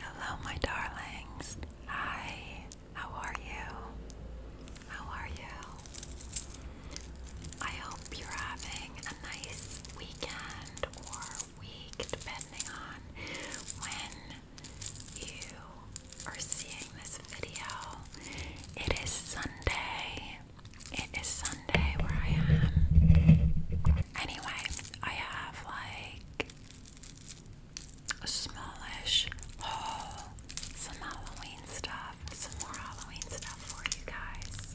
Hello, my darlings. Hi, how are you? How are you? I hope you're having a nice weekend or week, depending on when you are seeing this video. It is Sunday, it is Sunday where I am. Anyway, I have like a smallish haul, some Halloween stuff, some more Halloween stuff for you guys.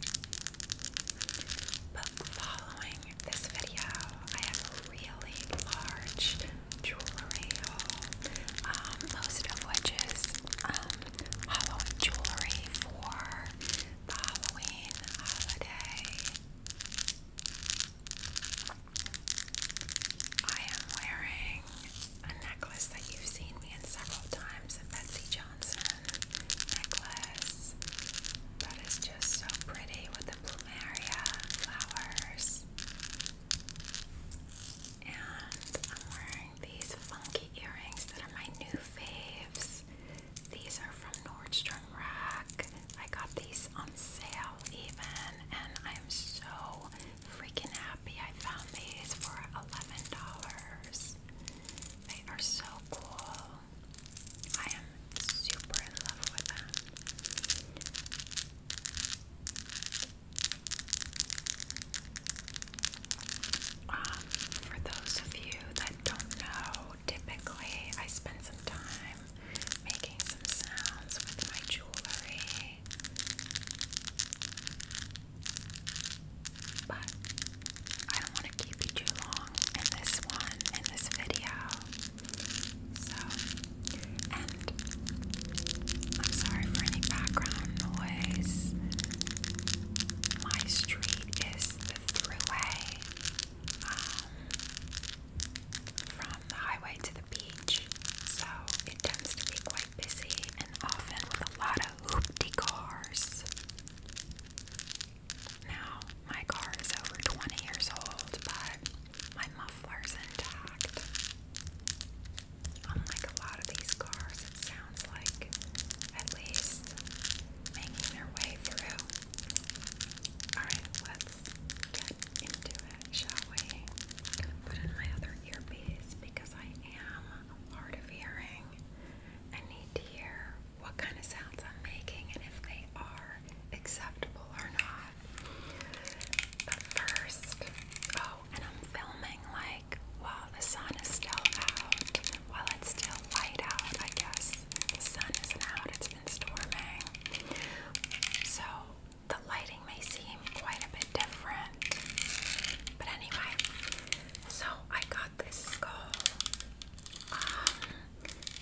But following this video, I have a really large jewelry haul, um, most of which is um, Halloween jewelry for the Halloween holiday. I am wearing a necklace that you've seen me in several times, a Betsy Johnson necklace that is just so pretty with the plumeria flowers. And I'm wearing these funky earrings that are my new faves. These are from Nordstrom Rack. I got these on sale even, and I am so freaking happy I found these for $11. They are so cool. I am super in love with them. Um, for those of you that don't know, typically I spend some time making some sounds with my jewelry. But I don't want to keep you too long in this one, in this video. So, and I'm sorry for any background noise. My street is the throughway um, from the highway to the beach, so it tends to be quite busy and often with a lot of hoopty cars. Now, my car is over 20 years old, but my muffler's intact. Unlike a lot of these cars, sounds like at least making their way through. Alright, let's get into it, shall we? put in my other earpiece because I am hard of hearing and need to hear what kind of sounds I'm making and if they are acceptable or not. But first, oh, and I'm filming like while the sun is still out, while it's still light out, I guess. The sun isn't out, it's been storming. So the lighting may seem quite a bit different. But anyway, so I got this skull um,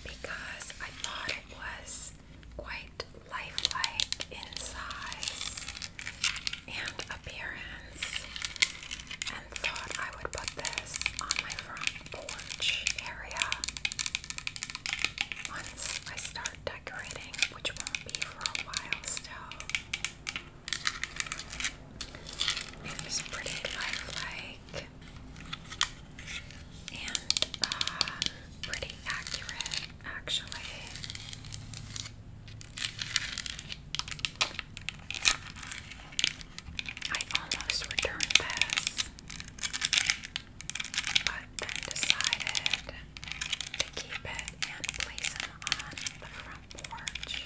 because I thought it was quite lifelike in size. And appearance and thought I would put this on my front porch area once I start decorating, which won't be for a while still. It pretty lifelike and um, pretty accurate actually. I almost returned this, but then decided to keep it and place him on the front porch.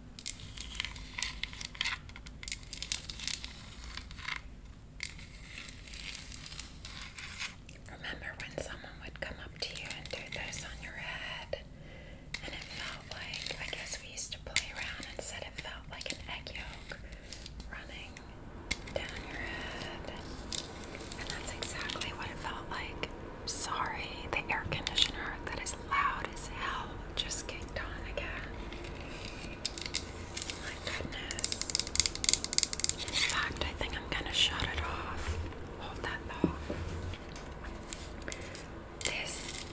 Remember when someone would come up to you and do those on your head? And it felt like, I guess we used to play around and said it felt like an egg yolk running down your head. And that's exactly what it felt like. I'm sorry, the air conditioner that is loud as hell just kicked on again. My goodness. In fact, I think I'm gonna shut it off. Hold that thought. This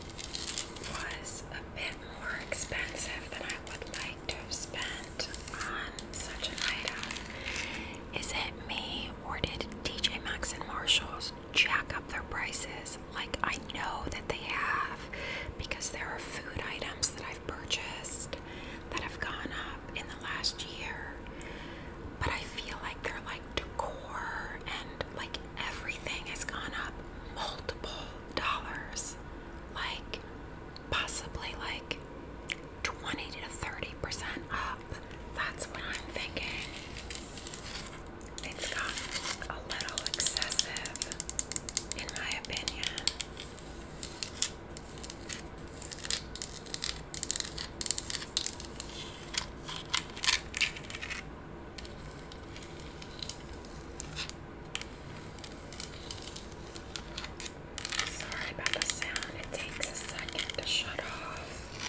was a bit more expensive than I would like to have spent on such an item. Is it me or did DJ Maxx and Marshalls just jack up their prices like I know that they have because there are food items that I've purchased that have gone up in the last year. But I feel like they're like decor and like everything has gone up multiple dollars. Like possibly like 20 to 30% that's what I'm thinking. It's gotten a little excessive, in my opinion. Sorry about the sound, it takes a second to shut off.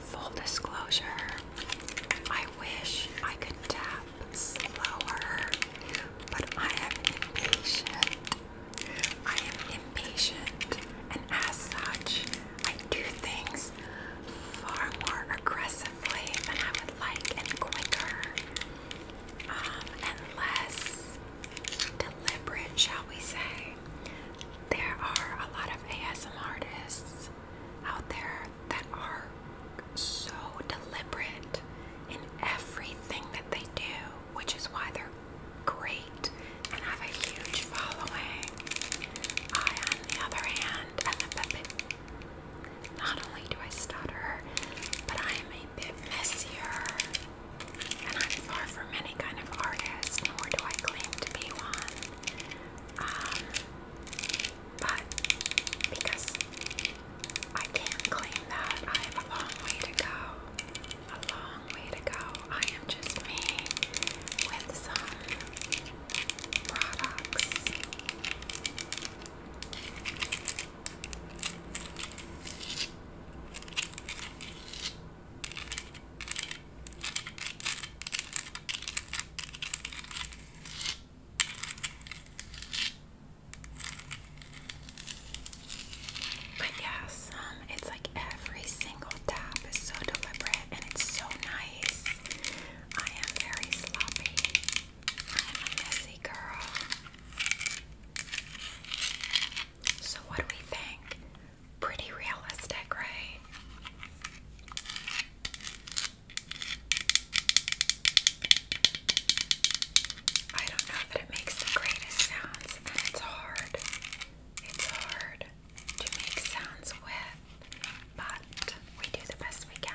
Full disclosure, I wish I could tap slower, but I am impatient. I am impatient, and as such, I do things far more aggressively than I would like and quicker um, and less deliberate, shall we say there are a lot of ASM artists out there that are so deliberate in everything that they do, which is why they're great and have a huge following. I, on the other hand, am a bit, not only do I stutter, but I am a bit messier and I'm far from any kind of artist, nor do I claim to be one. Um, but because I can't claim that, I have a long way to go. A long way to go. I am just me with some products. But yeah, some it's like every single tap is so deliberate and it's so nice. I am very sloppy. I am a messy girl. So what do we think? Pretty realistic, right? I don't know that it makes the greatest sounds, and it's hard. It's hard to make sounds with, but we do the best we can.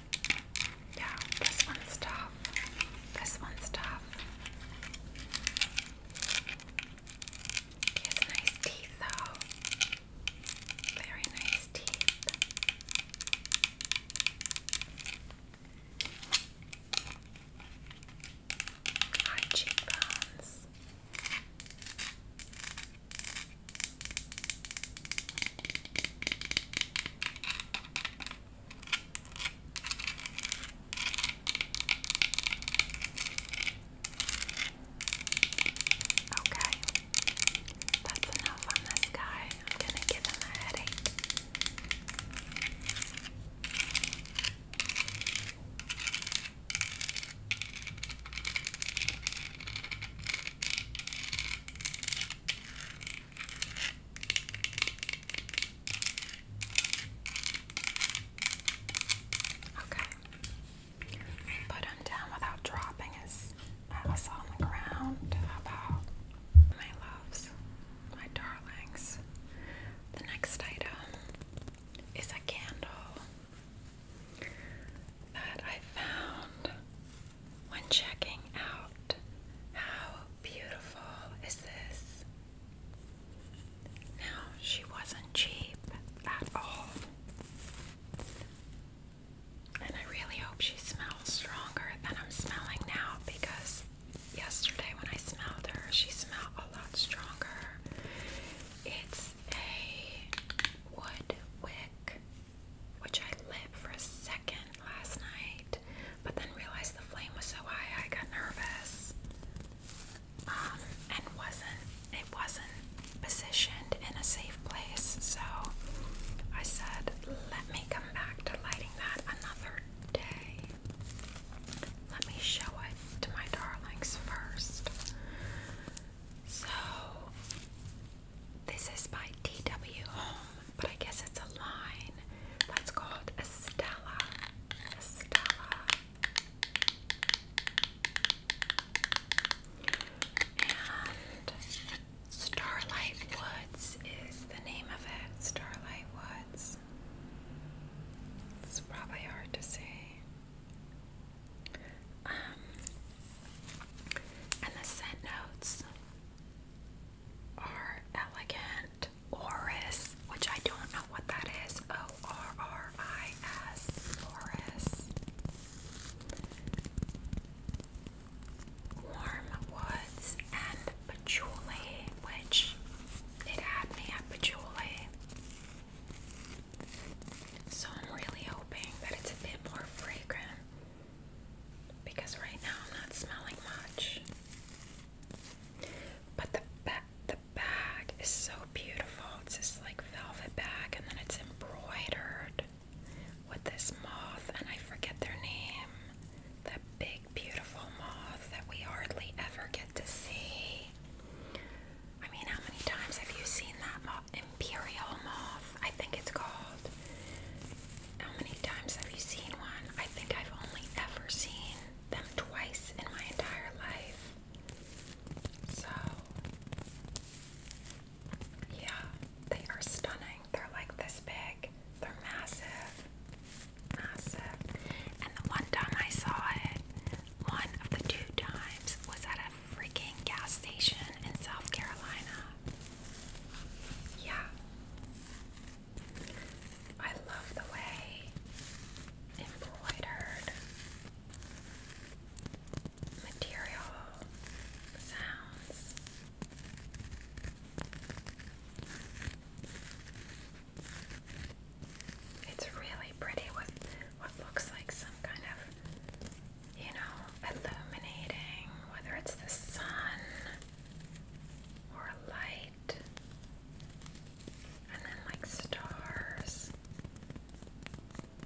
Yeah, this one's tough. This one's tough. He has nice teeth, though. Very nice teeth. High cheekbones. Okay, that's enough on this guy. I'm gonna give him a headache. Okay. put them down without dropping us, us uh, on the ground. How about my loves, my darlings? The next item is a candle that I found when checking out. How beautiful is this? Now, she wasn't cheap at all. And I really hope she smells stronger than I'm smelling now because yesterday when I smelled her, she smelled a lot stronger. It's a wood wick which I lit for a second last night, but then realized the flame was so high I got nervous. Um, and wasn't it wasn't positioned in a safe place, so I said, let me come back to lighting that another day. Let me show it to my darlings first. So this is by T.W. Home, but I guess it's a line that's called Estella. Estella. And Starlight Woods is the name of it. Starlight Woods. It's probably hard to say. Um, and the scent notes are elegant, orris, which I don't know what that is. O R R I S, orris. Warm woods and patchouli, which it had me at patchouli. So I'm really hoping that it's a bit more fragrant because right now I'm not smelling much. But the ba the bag is so beautiful. It's this like velvet bag and then it's embroidered with this moth and I forget their name. That big beautiful moth that we hardly ever get to see. I mean, how many times have you seen that moth imperial moth, I think it's called. How many times have you seen one? I think I've only ever seen them twice in my entire life. So, yeah, they are stunning. They're like this big, they're massive, massive. And the one time I saw it, one of the two times was at freaking gas station in South Carolina. Yeah. I love the way embroidered material sounds. It's really pretty with what looks like some kind of you know, illuminating, whether it's the sun or light, and then like stars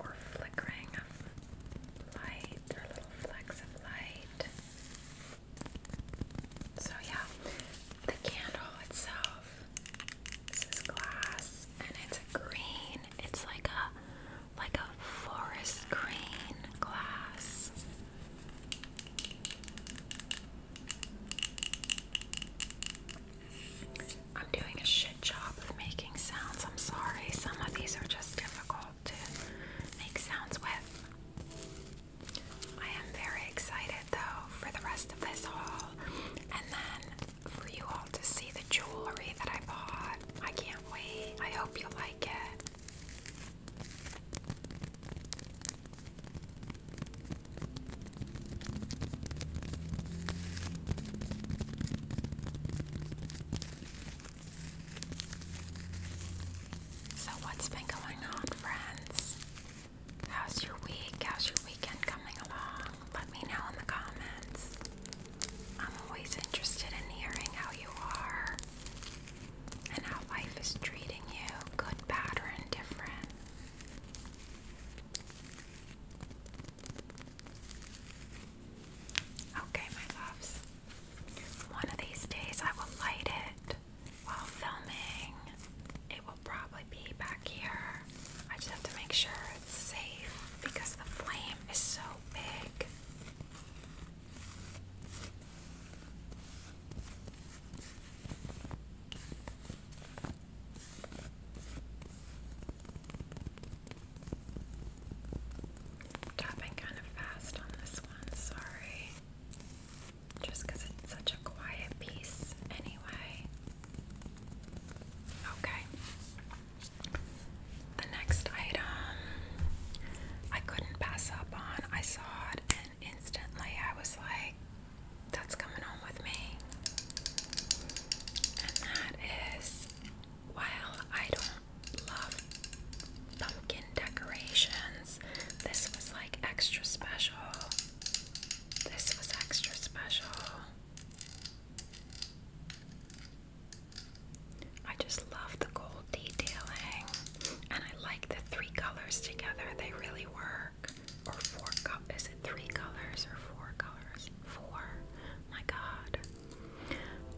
or flickering of light or little flecks of light. So, yeah, the candle itself. This is glass and it's green. It's like a like a forest green glass. I'm doing a shit job of making sounds. I'm sorry. Some of these are just difficult to make sounds with. I am very excited though for the rest of this haul and then for you all to see the jewelry that I bought. I can't wait. I hope you like it. So, what's been going on, friends? How's your week? How's your weekend coming along? Let me know in the comments. I'm always interested in hearing how you are and how life is treating you, good, bad, or indifferent. Okay, my loves. One of these days I will light it while filming. It will probably be back here. I just have to make sure it's safe because the flame is so big. Tapping kind of fast on this one, sorry. Just it's such a quiet piece, anyway. Okay. The next item I couldn't pass up on. I saw it and instantly I was like, that's coming home with me. And that is, while I don't love pumpkin decorations, this was like extra special. This was extra special. I just love the gold detailing, and I like the three colors together. They really work. Or four colors. Is it three colors or four colors? Four. My God.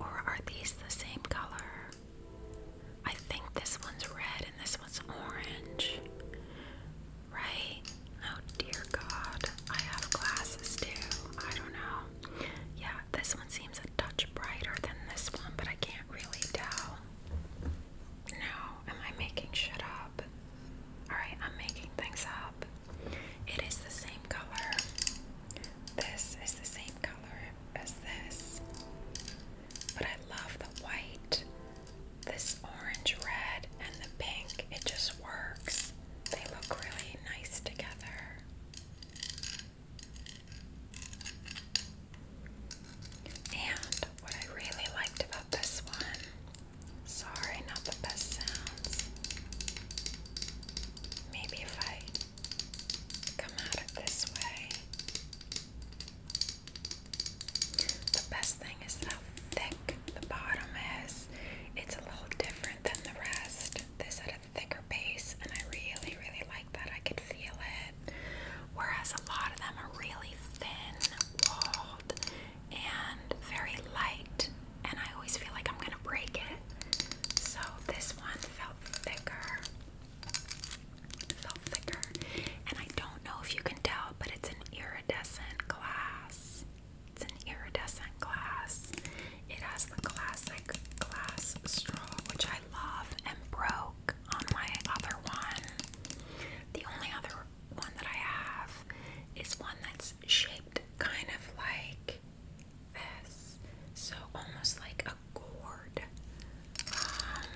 Or are these the same color? I think this one's red and this one's orange. Right? Oh dear God. I have glasses too. I don't know yeah, this one seems a touch brighter than this one, but I can't really tell. No, am I making shit up? Alright, I'm making things up. It is the same color. This is the same color as this. But I love the white, this orange, red, and the pink. It just works. They look really nice together. And what I really liked about this one, sorry, not the best sounds. Maybe if I come out of this way. The best thing is how thick the bottom is. It's a little different than the rest this at a thicker base, and I really, really like that. I could feel it. Whereas a lot of them are really thin walled and very light, and I always feel like I'm gonna break it. So this one felt thicker. felt thicker, and I don't know if you can tell, but it's an iridescent glass. It's an iridescent glass. It has the classic glass straw, which I love and broke on my other one. The only other one that I have is one that's shaped kind of like this. So almost like a gourd. Um,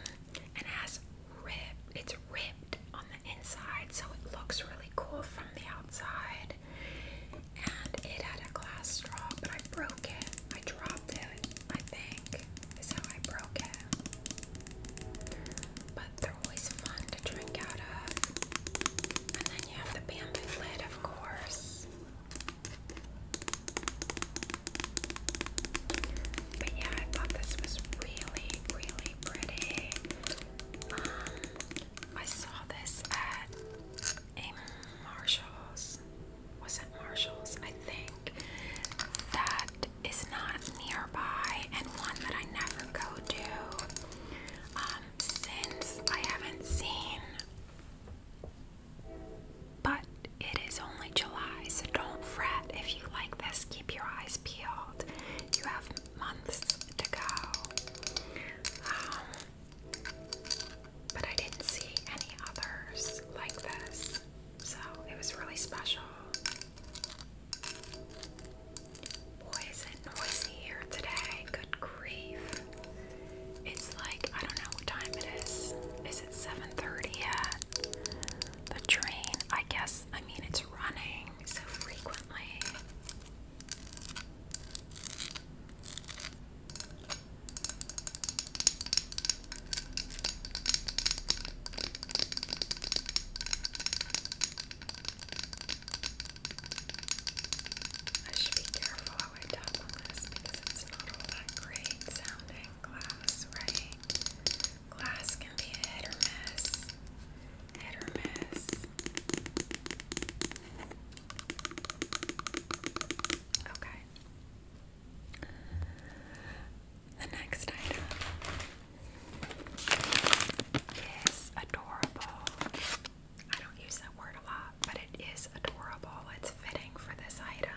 and it has rib it's ribbed on the inside, so it looks really cool from the outside and it had a glass straw, but I broke it. I dropped it, I think, is how I broke it. But they're always fun to drink out of. And then you have the bamboo lid, of course. But yeah, I thought this was really, really pretty. Um, I saw this at a Marshalls. Was it Marshalls? I think. That is not nearby and one that I never go to. Um, since I haven't seen. But it is only July, so don't fret. If you like this, keep your eyes peeled. You have months to go. Um, but I didn't see any others like this, so it was really special. Boy, is it noisy here today. Good grief. It's like, I don't know what time it is. Is it 7.30 yet? The train, I guess, I mean, it's running so frequently. I should be careful how I because it's not all that great sounding glass, right? Glass can be a hit or miss. Hit or miss. Okay. The next item is adorable. I don't use that word a lot, but it is adorable. It's fitting for this item.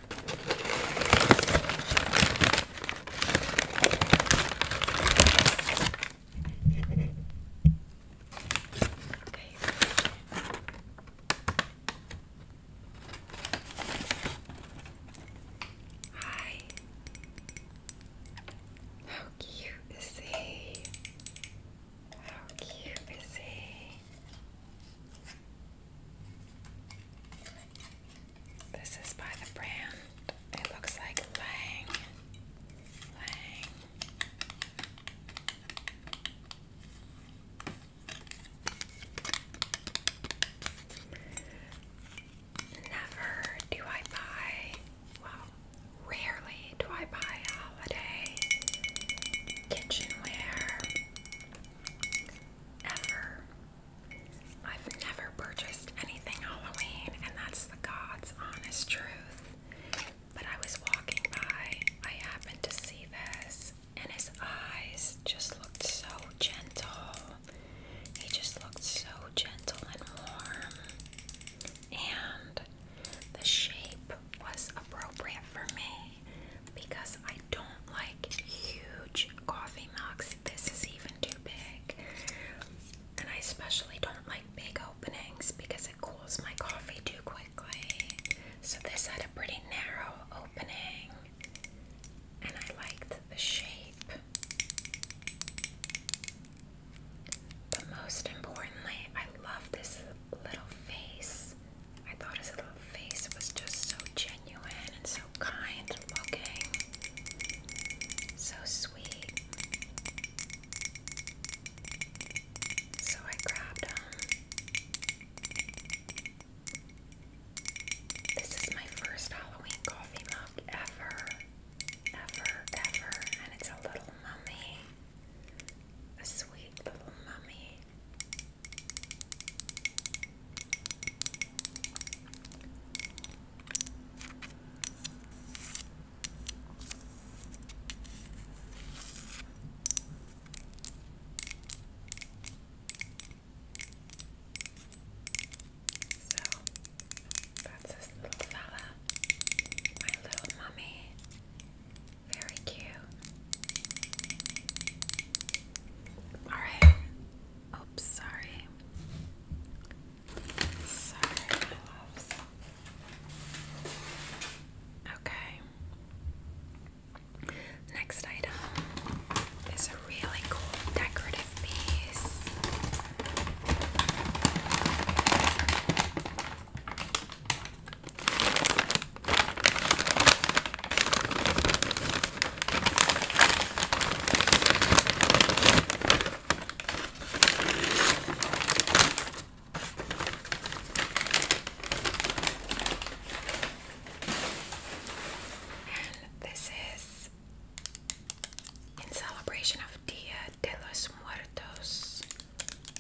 Hi. How cute is he? How cute is he? This is by the brand. It looks like Lang. Lang. Never do I buy, well, rarely do I buy holiday kitchenware ever. I've never purchased anything Halloween, and that's the God's honest truth. But I was walking by, I happened to see this, and his eyes just looked so gentle. He just looked so gentle and warm. And the shape was appropriate for me because I. I don't like huge coffee mugs. This is even too big. And I especially don't like big openings because it cools my coffee too quickly. So this had a pretty narrow opening. And I liked the shape. But most importantly, I love this little face. I thought his little face was just so genuine genuine and so kind looking. So sweet. So I grabbed him. Um, this is my first Halloween coffee mug ever. Ever, ever. And it's a little mummy. A sweet little mummy. So that's this little fella, my little mummy. Very cute. Alright, Oops, sorry. Sorry, my loves. Okay. Next item is a really cool decorative piece. And this is in celebration of Dia de los Muertos.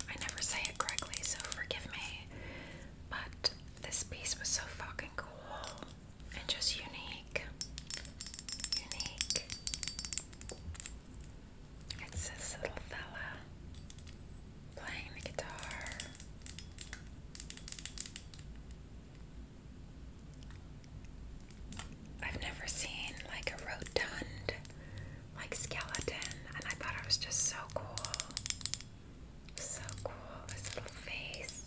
I never say it correctly, so forgive me. But this piece was so fucking cool and just unique. Unique. It's this little fella playing the guitar. I've never seen like a rotund like skeleton and I thought it was just so cool. So cool, his little face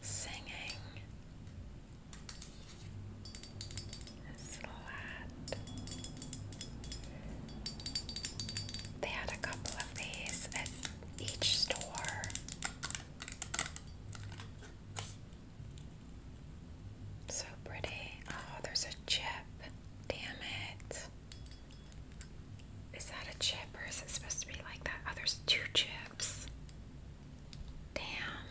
singing. His little hat. They had a couple of these at each store. So pretty. Oh, there's a chip. Damn it. Is that a chip or is it supposed to be like that? Oh, there's two chips. Damn.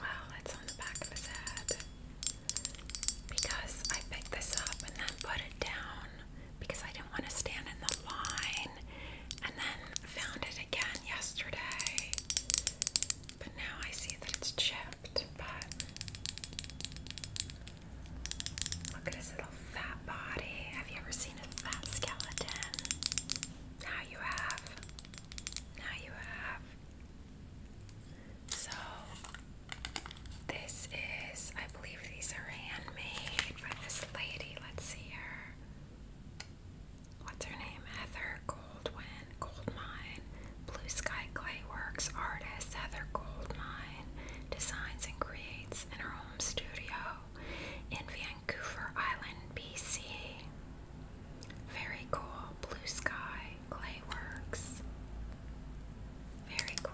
Wow, that's on the back of his head. Because I picked this up and then put it down because I didn't want to stand in the line and then found it again yesterday. But now I see that it's chipped, but look at his little fat body. Have you ever seen a fat skeleton? Now you have. Now you have. So, this is, I believe these are handmade by this lady. Let's see her. What's her name? Heather Goldwyn, Goldmine, Blue Sky Clayworks artist. Heather Goldmine designs and creates in her home studio in Vancouver Island, BC. Very cool. Blue Sky Clay Works. Very cool.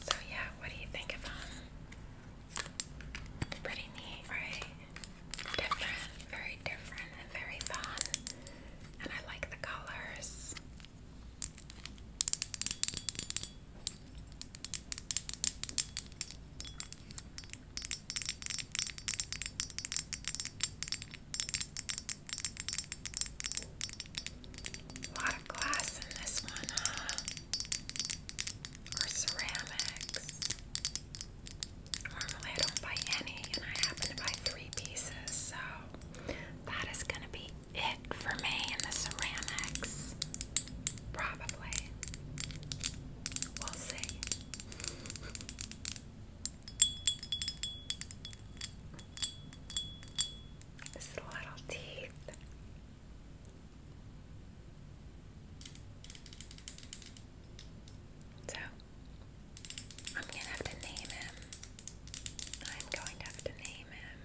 So yeah, what do you think of them? Um, pretty neat, right? Different, very different and very fun. And I like the colors. A lot of glass in this one, huh? Or ceramics. Normally I don't buy any, and I happen to buy three pieces, so that is going to be it for me in the ceramics. Probably we little teeth. So, I'm going to have to name him. I'm going to have to name him.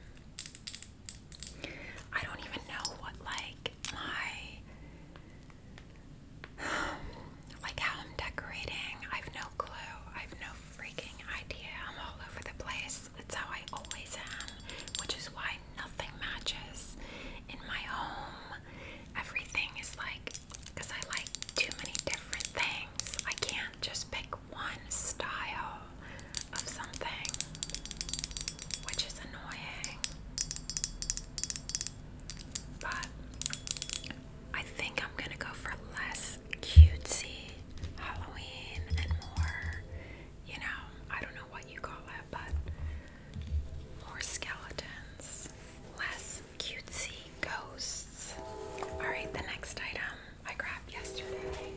I don't even know what, like, my like how I'm decorating, I've no clue. I've no freaking idea. I'm all over the place. That's how I always am, which is why nothing matches in my home. Everything is like, because I like too many different things. I can't just pick one style of something, which is annoying. But I think I'm gonna go for less cutesy Halloween and more, you know, I don't know what you call it, but more skeletons, less cutesy ghosts. Alright, the next item I grabbed yesterday.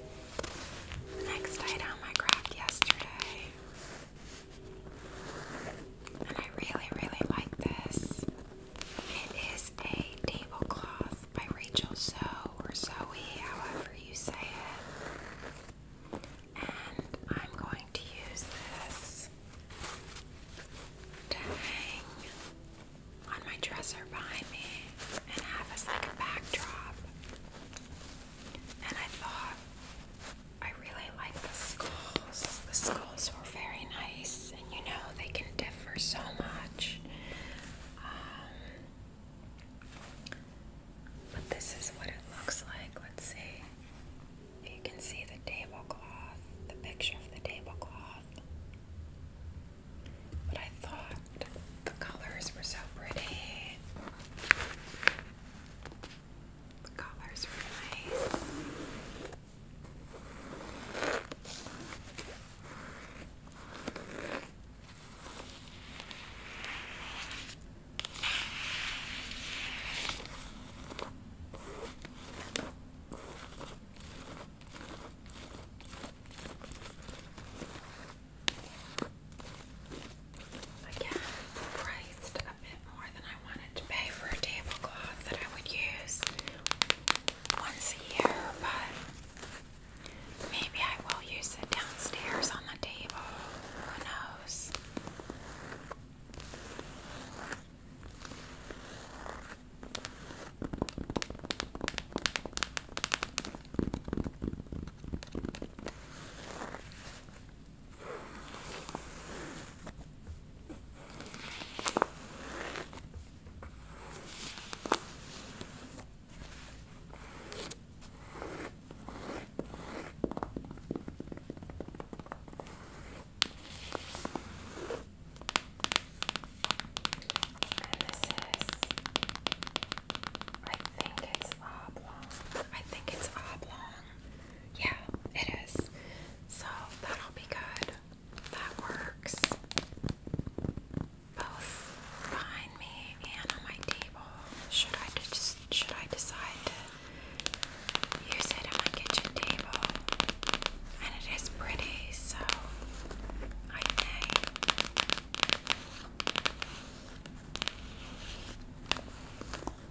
next item I grabbed yesterday and I really, really like this. It is a tablecloth by Rachel Zoe or Zoe, however you say it. And I'm going to use this to hang on my dresser behind me and have as like a backdrop. And I thought I really like the skulls. The skulls were very nice, and you know they can differ so much. Um, but this is what it looks like. Let's see. You can see the tablecloth, the picture of the tablecloth. But I thought the colors were so pretty. The colors are nice. Again, priced a bit more than I wanted to pay for a tablecloth that I would use once a year, but maybe I will use it downstairs on the table. Who knows? And this I think it's oblong. I think it's oblong. Yeah, it is. So that'll be good. That works. Both behind me and on my table. Should I just should I decide to use it on my kitchen table? And it is pretty, so I may.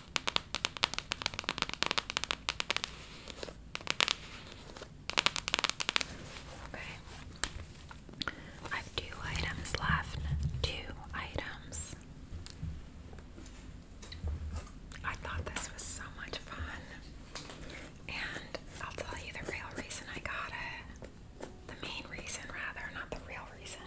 I have two items left. Two items. I thought this was so much fun. And I'll tell you the real reason I got it. The main reason, rather, not the real reason.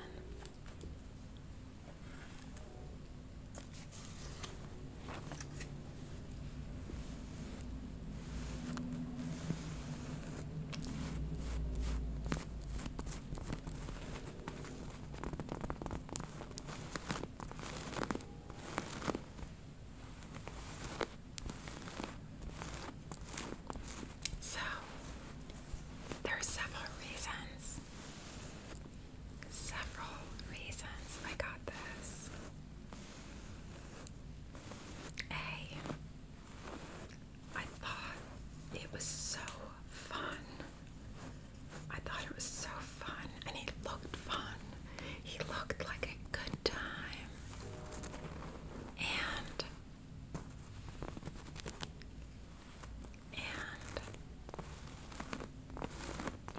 So, there are several reasons several reasons I got this. A, I thought it was so fun. I thought it was so fun, and he looked fun. He looked like a good time. And and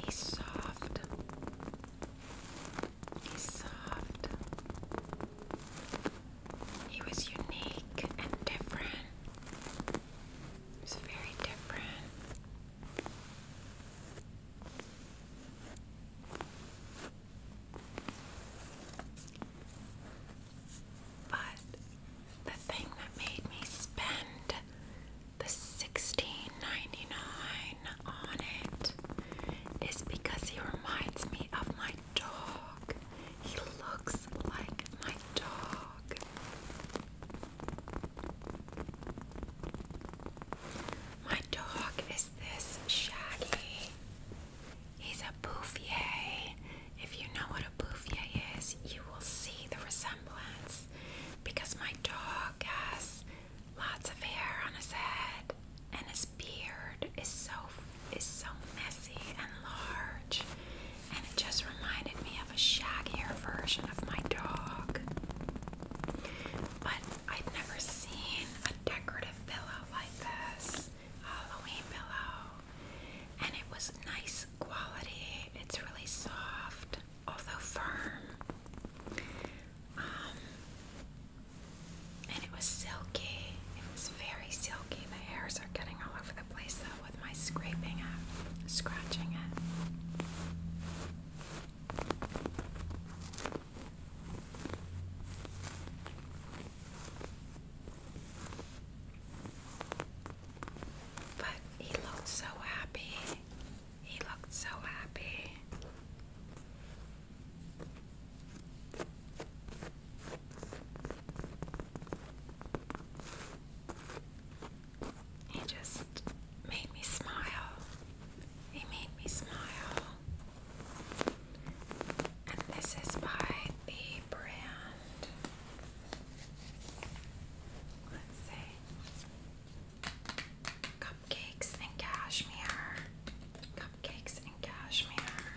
he's soft. He's soft. He was unique and different. He was very different. But the thing that made me spend the sixteen ninety nine dollars on it is because he reminds me of my dog. He looks like my dog. My dog is this shaggy. He's a bouffier. If you know what a bouffier is, you will see the resemblance because my dog has lots of hair on his head and his beard is so is so messy and large and it just reminded me of a shaggier version of my dog. But I've never seen a decorative pillow like this. Halloween pillow. And it was nice quality. It's really soft although firm. Um, and it was silky. It was very silky. The hairs are getting all over the place though with my scraping it, scratching it. But he looked so happy. He looked so happy. He just made me smile. He made me smile. And this is by the brand. Let's see. Cupcakes and cashmere. Cupcakes and cashmere.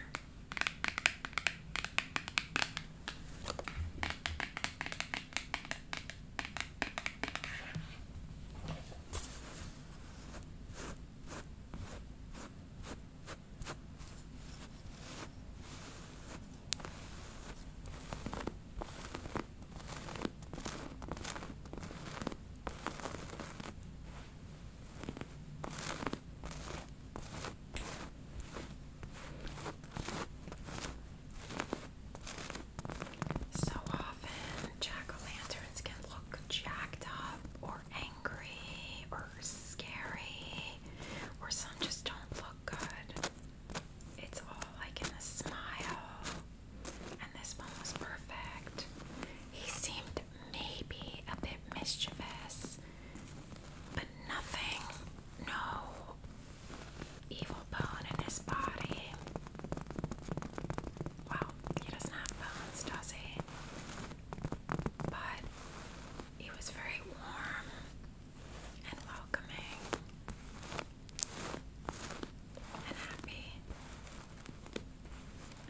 So often, jack o' lanterns can look jacked up, or angry, or scary, or some just don't look good it's all like in a smile. And this one was perfect. He seemed maybe a bit mischievous, but nothing, no evil bone in his body. Well, he doesn't have bones, does he? But he was very warm and welcoming and happy.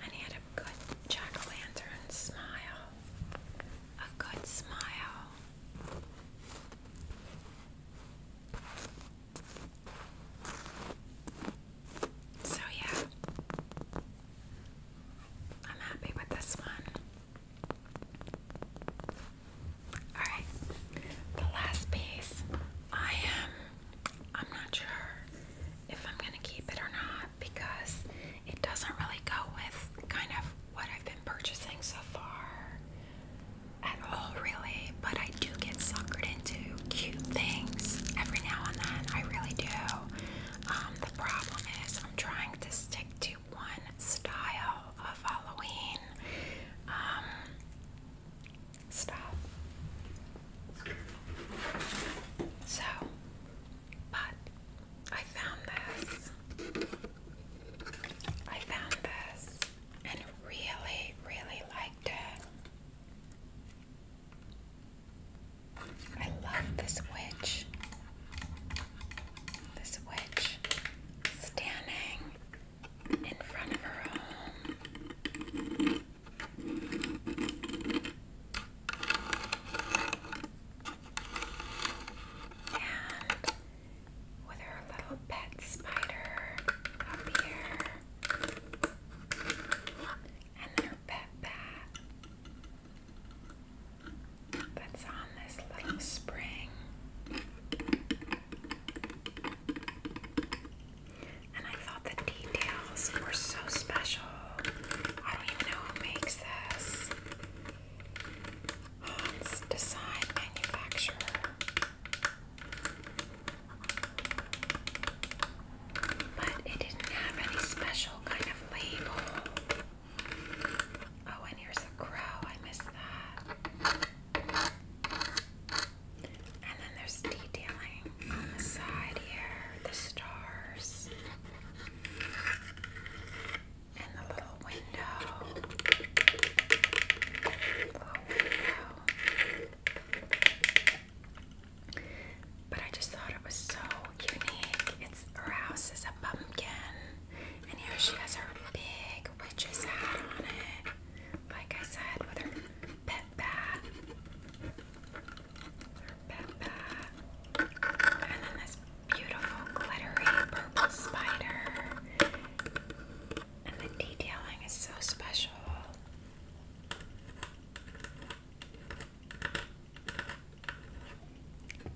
And he had a good jack o' lantern smile. A good smile. So, yeah, I'm happy with this one. Alright, the last piece. I am, I'm not sure if I'm going to keep it or not because it doesn't really go with kind of what I've been purchasing so far at all, really. But I do get suckered into cute things every now and then. I really do. Um, the problem is, I'm trying to stick to one style of Halloween um, stuff. So, but I found this. I found this and really, really liked it. I love this witch. This witch standing in front of her home. And with her little pet spider up here, and her pet bat that's on this little spring. And I thought the details were so special. I don't even know who makes this. Hans oh, Design Manufacturer. But it didn't have any special kind of label. Oh, and here's the crow. I missed that. And then there's detailing on the side here, the stars, and the little window. But I just thought it was so unique. It's her house is a pumpkin, and here she has her big like witch's hat on it, like I said, with her pet bat. Her pet bat. And then this beautiful glittery purple spider. And the detailing is so special.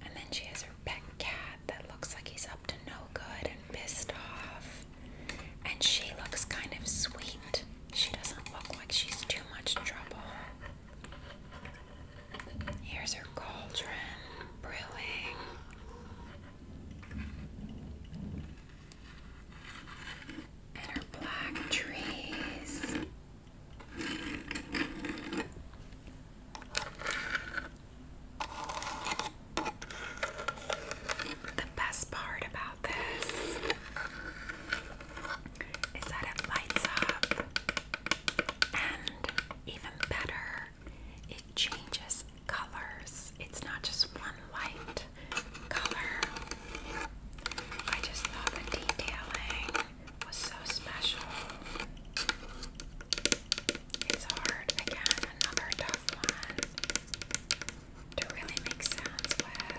And then she has pet cat that looks like he's up to no good and pissed off. And she looks kind of sweet. She doesn't look like she's too much trouble. Here's her cauldron brewing. And her black trees. The best part about this is that it lights up, and even better, it changes colors. It's not just one light color. I just thought the detailing was so special. It's hard again, another tough one to really make sense with.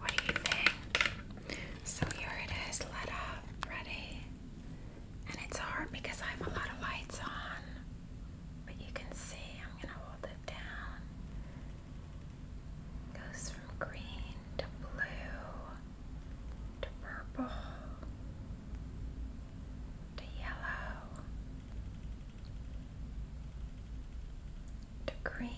What do you think? So here it is, lit up, ready. And it's hard because I have a lot of lights on. But you can see I'm going to hold it down. Goes from green to blue to purple to yellow to green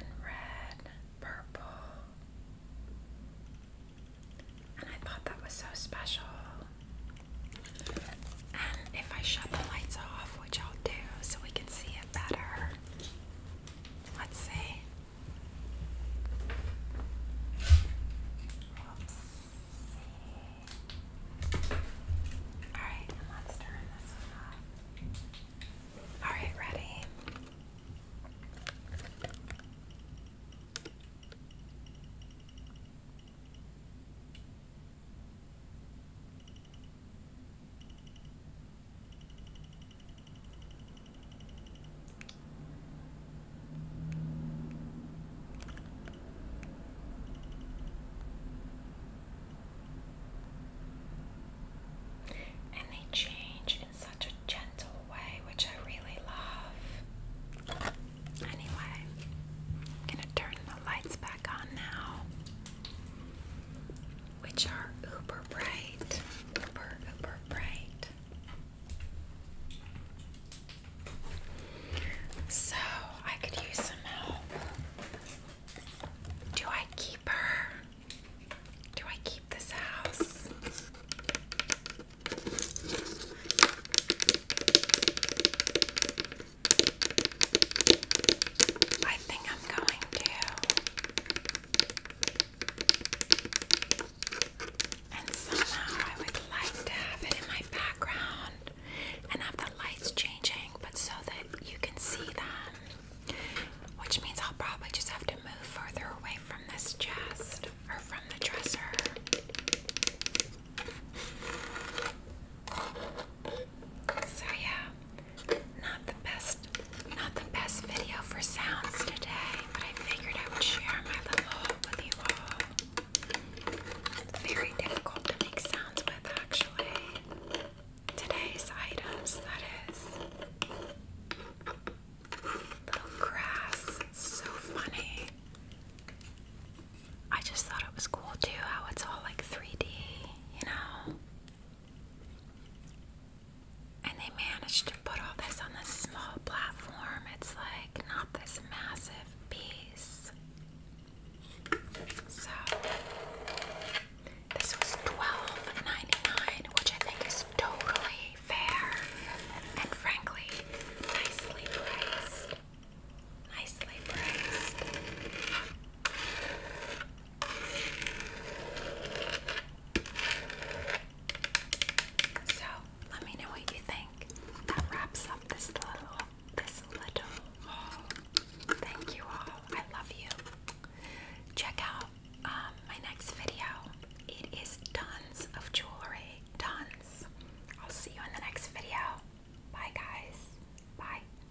and red, purple. And I thought that was so special. And if I shut the lights off, which I'll do so we can see it better, Let's see. Alright, let's turn this one Alright, ready? And they change in such a gentle way, which I really love. Anyway, I'm gonna turn the lights back on now which are uber bright, uber, uber bright. So I could use some help. Do I keep her? Do I keep this house? I think I'm going to. And somehow I would like to have it in my background and have the lights changing, but so that you can see them. Which means I'll probably just have to move further away from this chest or from the dresser. So yeah, not the best, not the best video for sounds today, but I figured I would share my little haul with you all. very difficult to make sounds with actually. Today's items, that is. Little grass, so funny. I just thought it was cool too how it's all like 3D, you know? And they managed to put all this on this small platform. It's like not this massive piece. So this was $12.99, which I think is totally fair and frankly nicely priced. Nicely priced. So let me know what you think. That wraps up this little this little Thank you all. I love you. Check out um, my next video. It is tons of jewelry. Tons. I'll see you in the next video. Bye guys. Bye.